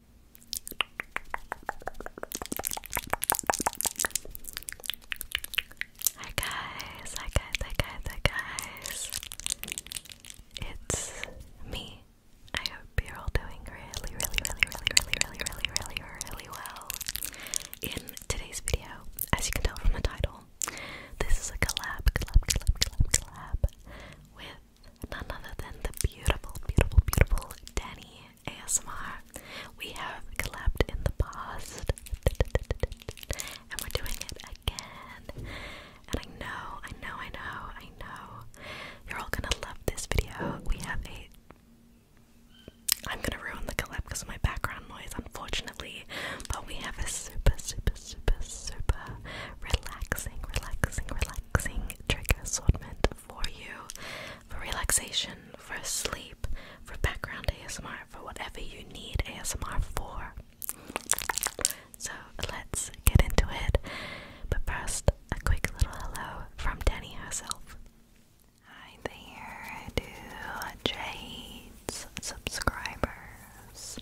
Hi guys, hi guys, hi guys, hi guys. It's me. I hope you're all doing really, really, really, really, really, really, really, really, really well. In today's video, as you can tell from the title, this is a collab, collab, collab, collab, collab with none other than the beautiful, beautiful, beautiful Danny ASMR. We have collabed in the past, and we're doing it again. And I know, I know, I know, I know, you're all gonna love this video. We have a I'm gonna ruin the collab because of my background noise, unfortunately. But we have a super, super, super, super relaxing, relaxing, relaxing relaxing trigger assortment for you for relaxation, for sleep, for background ASMR, for whatever you need ASMR for. So let's get into it. But first, a quick little hello from Danny herself. Hi there, to Jade's subscribers.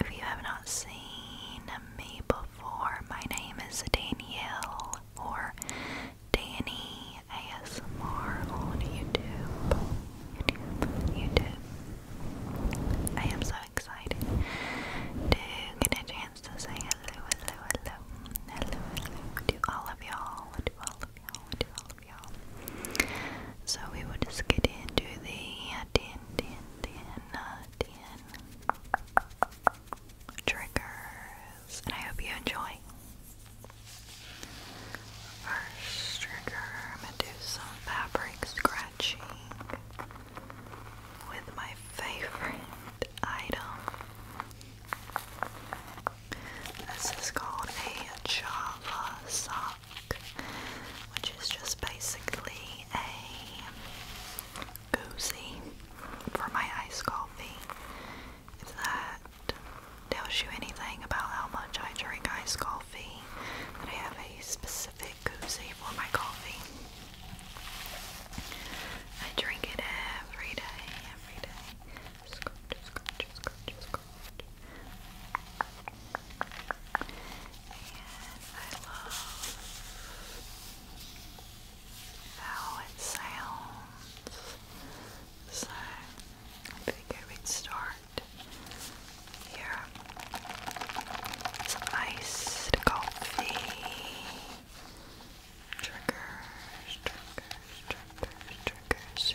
If you have not seen me before, my name is Danielle or Danny ASMR on YouTube. YouTube, YouTube. I am so excited to get a chance to say hello, hello, hello, hello, hello to all of y'all, to all of y'all, to all of y'all. So we will just get into the 10, 10, 10, uh, triggers, and I hope you enjoy. First trigger, I'm gonna do some fabric scratching with my favorite item. This is called a Java sock, which is just basically a koozie for my iced coffee. If that tells you anything about how much I drink iced coffee, that I have a specific koozie for my coffee. I drink it every day, every day. Scrunch, scrunch, scrunch, scrunch. And I love how it sounds. So I figured we'd start here. Some iced coffee. Triggers, triggers, triggers, triggers.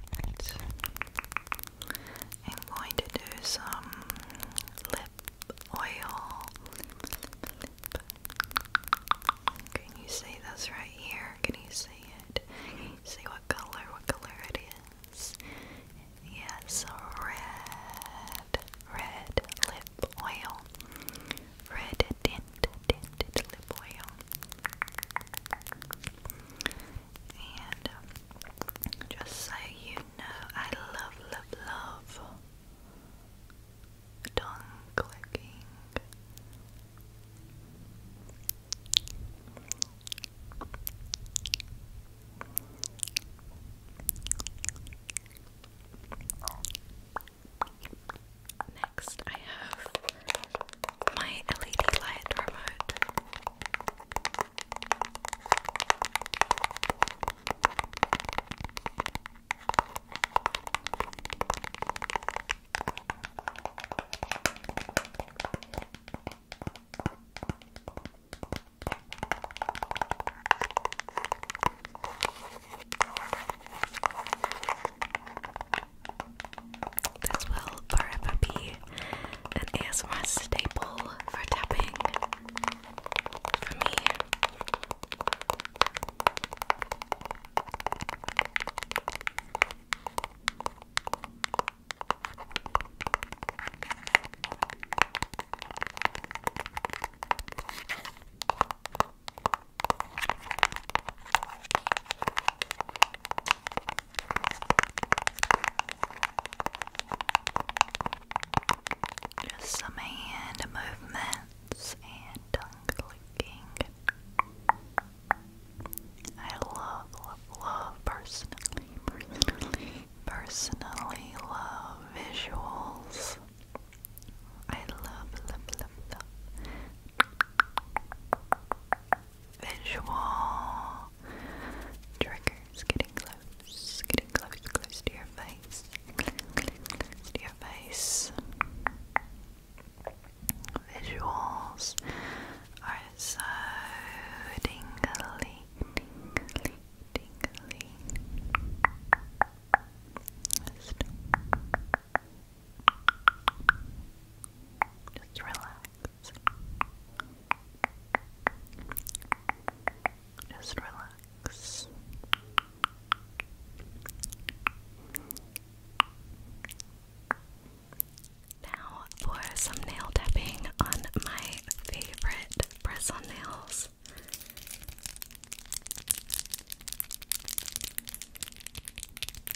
I'm going to do some lip oil. Can you see this right here? Can you see it? see what color? What color it is? Yes, red, red lip oil, red tinted lip oil. And um, just so you know, I love, love, love tongue clicking next I have my LED light remote. This will forever be an ASMR staple for tapping for me. Just some hand movements and clicking. I love, love, love personally, personally, love visuals. I love, love, love visual triggers getting close, getting close, close to your face, to your face. Visuals are so tingly, tingly, tingly. Just relax. Just relax. Now for some nail tapping on my favorite press on nails.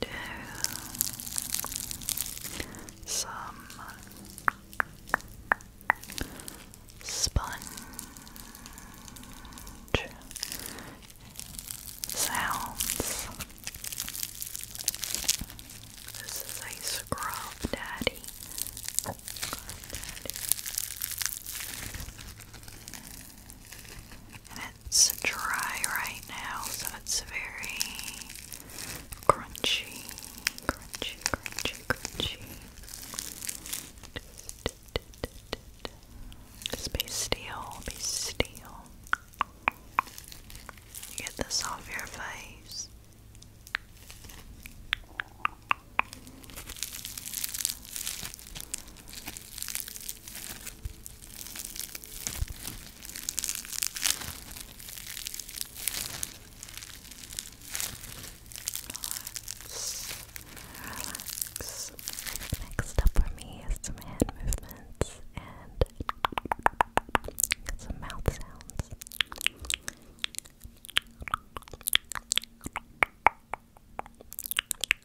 do some sponge sounds. This is a scrub daddy it's dry right now, so it's very crunchy, crunchy, crunchy, crunchy. Just be still, be Get this off your face. Relax. Next up for me is some hand movements and some mouth sounds.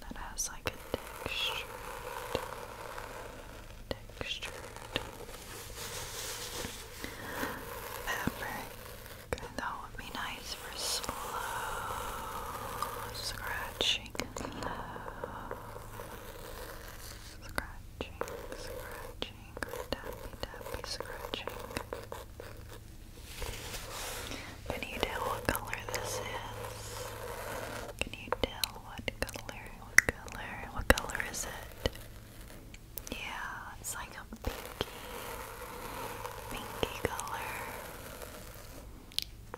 that has like a textured, textured fabric. that would be nice for slow scratching. scratching, scratching, tappy, tappy, scratching. Can you tell what color this is? Can you tell what color? What color? What color is it? Yeah, it's like a pinky, pinky color.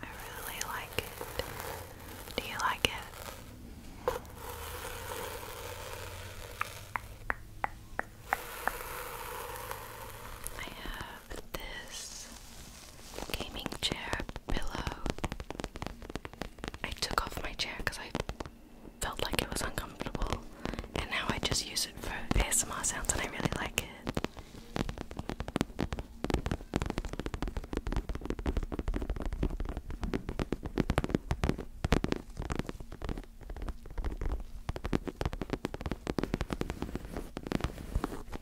I really like it. Do you like it? I have this gaming chair pillow. I took off my chair because I felt like it was uncomfortable, and now I just use it for ASMR sounds, and I really like it.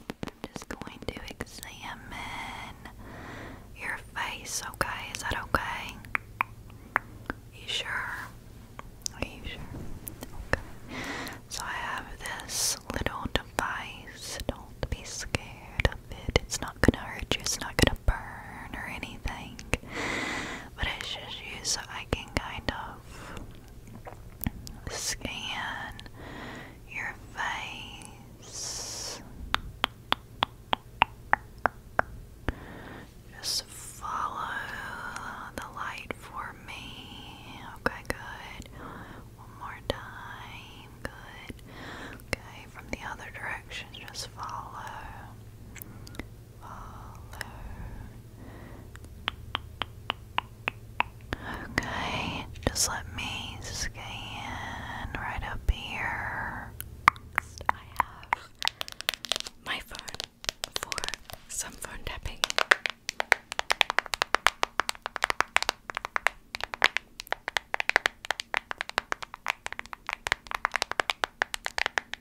I'm just going to examine your face, okay? Is that okay? You sure? Are you sure? Okay. So I have this little device. Don't be scared of it. It's not gonna hurt you, it's not gonna burn or anything but I should use so I can kind of scan your face. Just follow the light for me. Okay, good. One more time. Good. Okay, from the other direction, just follow. Okay, just let me scan right up here. I have my phone for some phone tapping.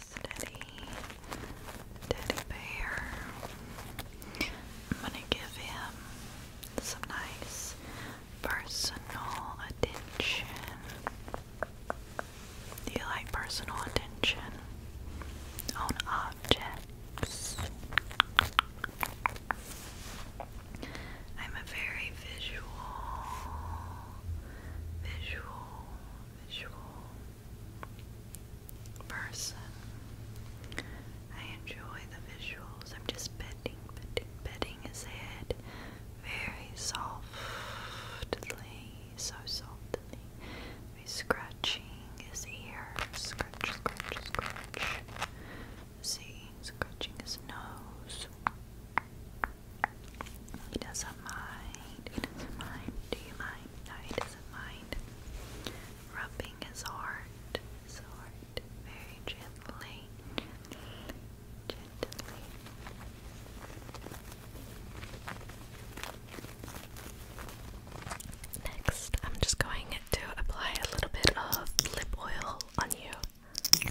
Steady teddy bear. I'm gonna give him some nice personal attention. Do you like personal attention on objects? I'm a very visual, visual, visual person. I enjoy the visuals. I'm just petting, petting, petting his head very softly, so softly. We're scratching his ear. Scratch, scratch, scratch. See, scratching his nose. He doesn't mind. He doesn't mind. Do you mind? No, he doesn't mind. Rubbing his heart, his very gently. Gently. Next, I'm just going to apply a little bit of lip oil on you.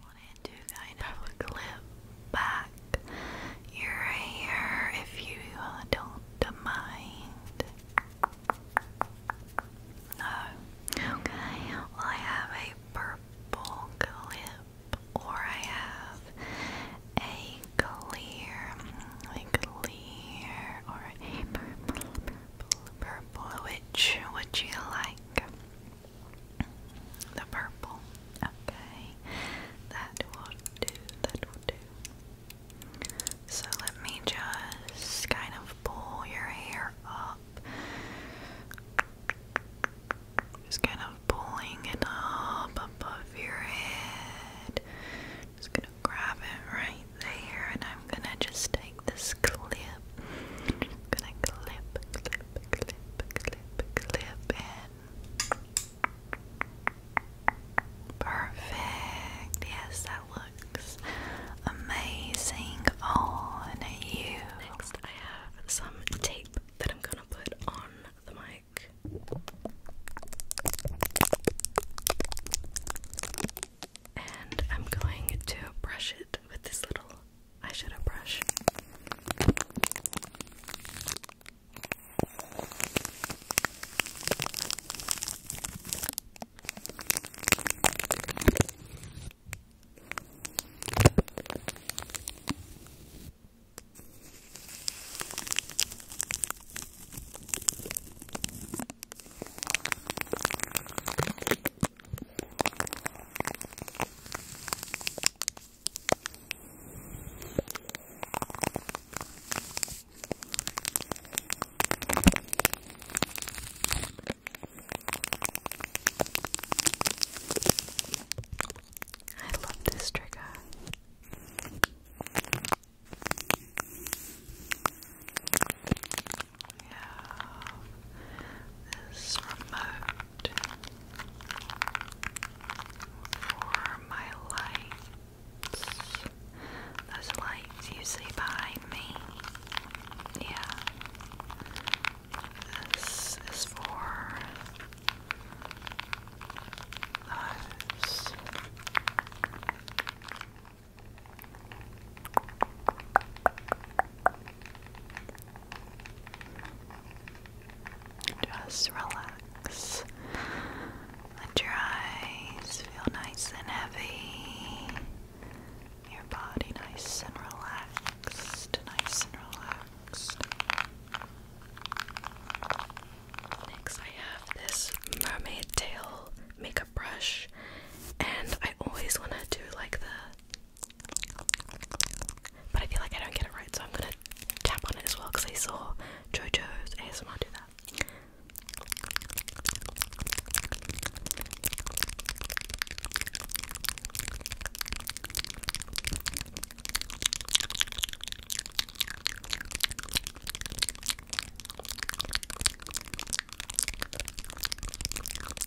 wanted to kind of clip back your hair if you don't mind. No. Oh, okay. Well, I have a purple clip, or I have a clear, a clear, or purple, purple. Which would you like? The purple. Okay. That will do. That will do. So let me just kind of pull your hair up. Just kind of pulling it up above your head. Just gonna grab it right there, and I'm gonna just take this clip gonna clip, clip, clip, clip, clip in. Perfect. Yes, that looks amazing on you. Next, I have some tape that I'm gonna put on the mic. And I'm going to brush it with this little I should have brushed. I love this trigger. Yeah this remote for my lights. Those lights you see behind me. Yeah. This is for those. Just relax. Let your eyes feel nice and heavy. Your body nice and relaxed. Nice and relaxed. Next, I have this mermaid tail makeup brush, and I always want to do like the but I feel like I don't get it right, so I'm gonna tap on it as well because I saw JoJo's ASMR do that.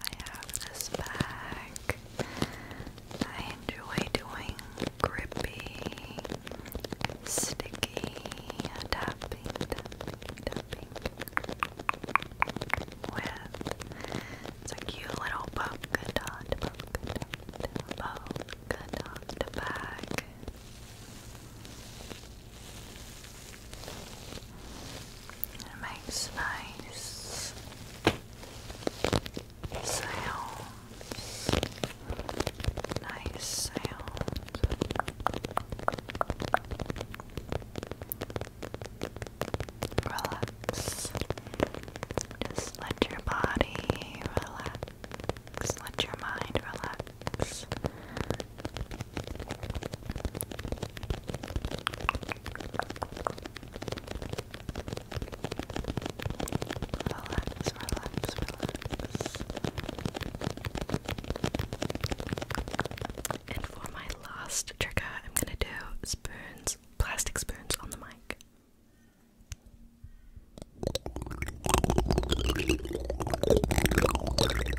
I have this bag. I enjoy doing grippy, sticky, tapping, tapping, tapping with it's a cute little polka dot, polka dot, polka dot bag. It makes nice sounds. Nice sounds. Relax. Just let your body relax. Just let your mind relax. And for my last trigger, I'm gonna do spoons, plastic spoons on the mic.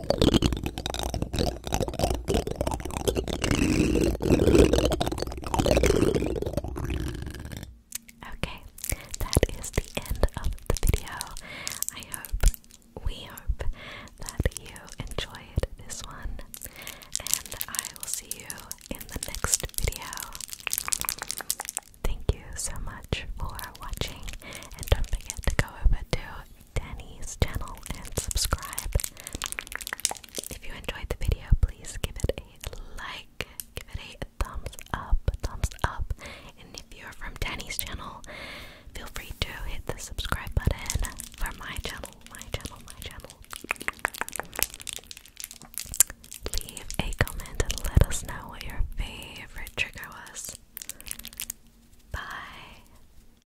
Okay, that is the end of the video. I hope, we hope, that you enjoyed this one, and I will see you in the next video. Thank you so much for watching, and don't forget to go over to Danny's channel and subscribe. If you enjoyed the video, please give it a like, give it a thumbs up, thumbs up. And if you're from Danny's channel, feel free to hit the subscribe button for my channel, my channel, my channel. Leave a comment and let us know what your favorite trigger was. Bye.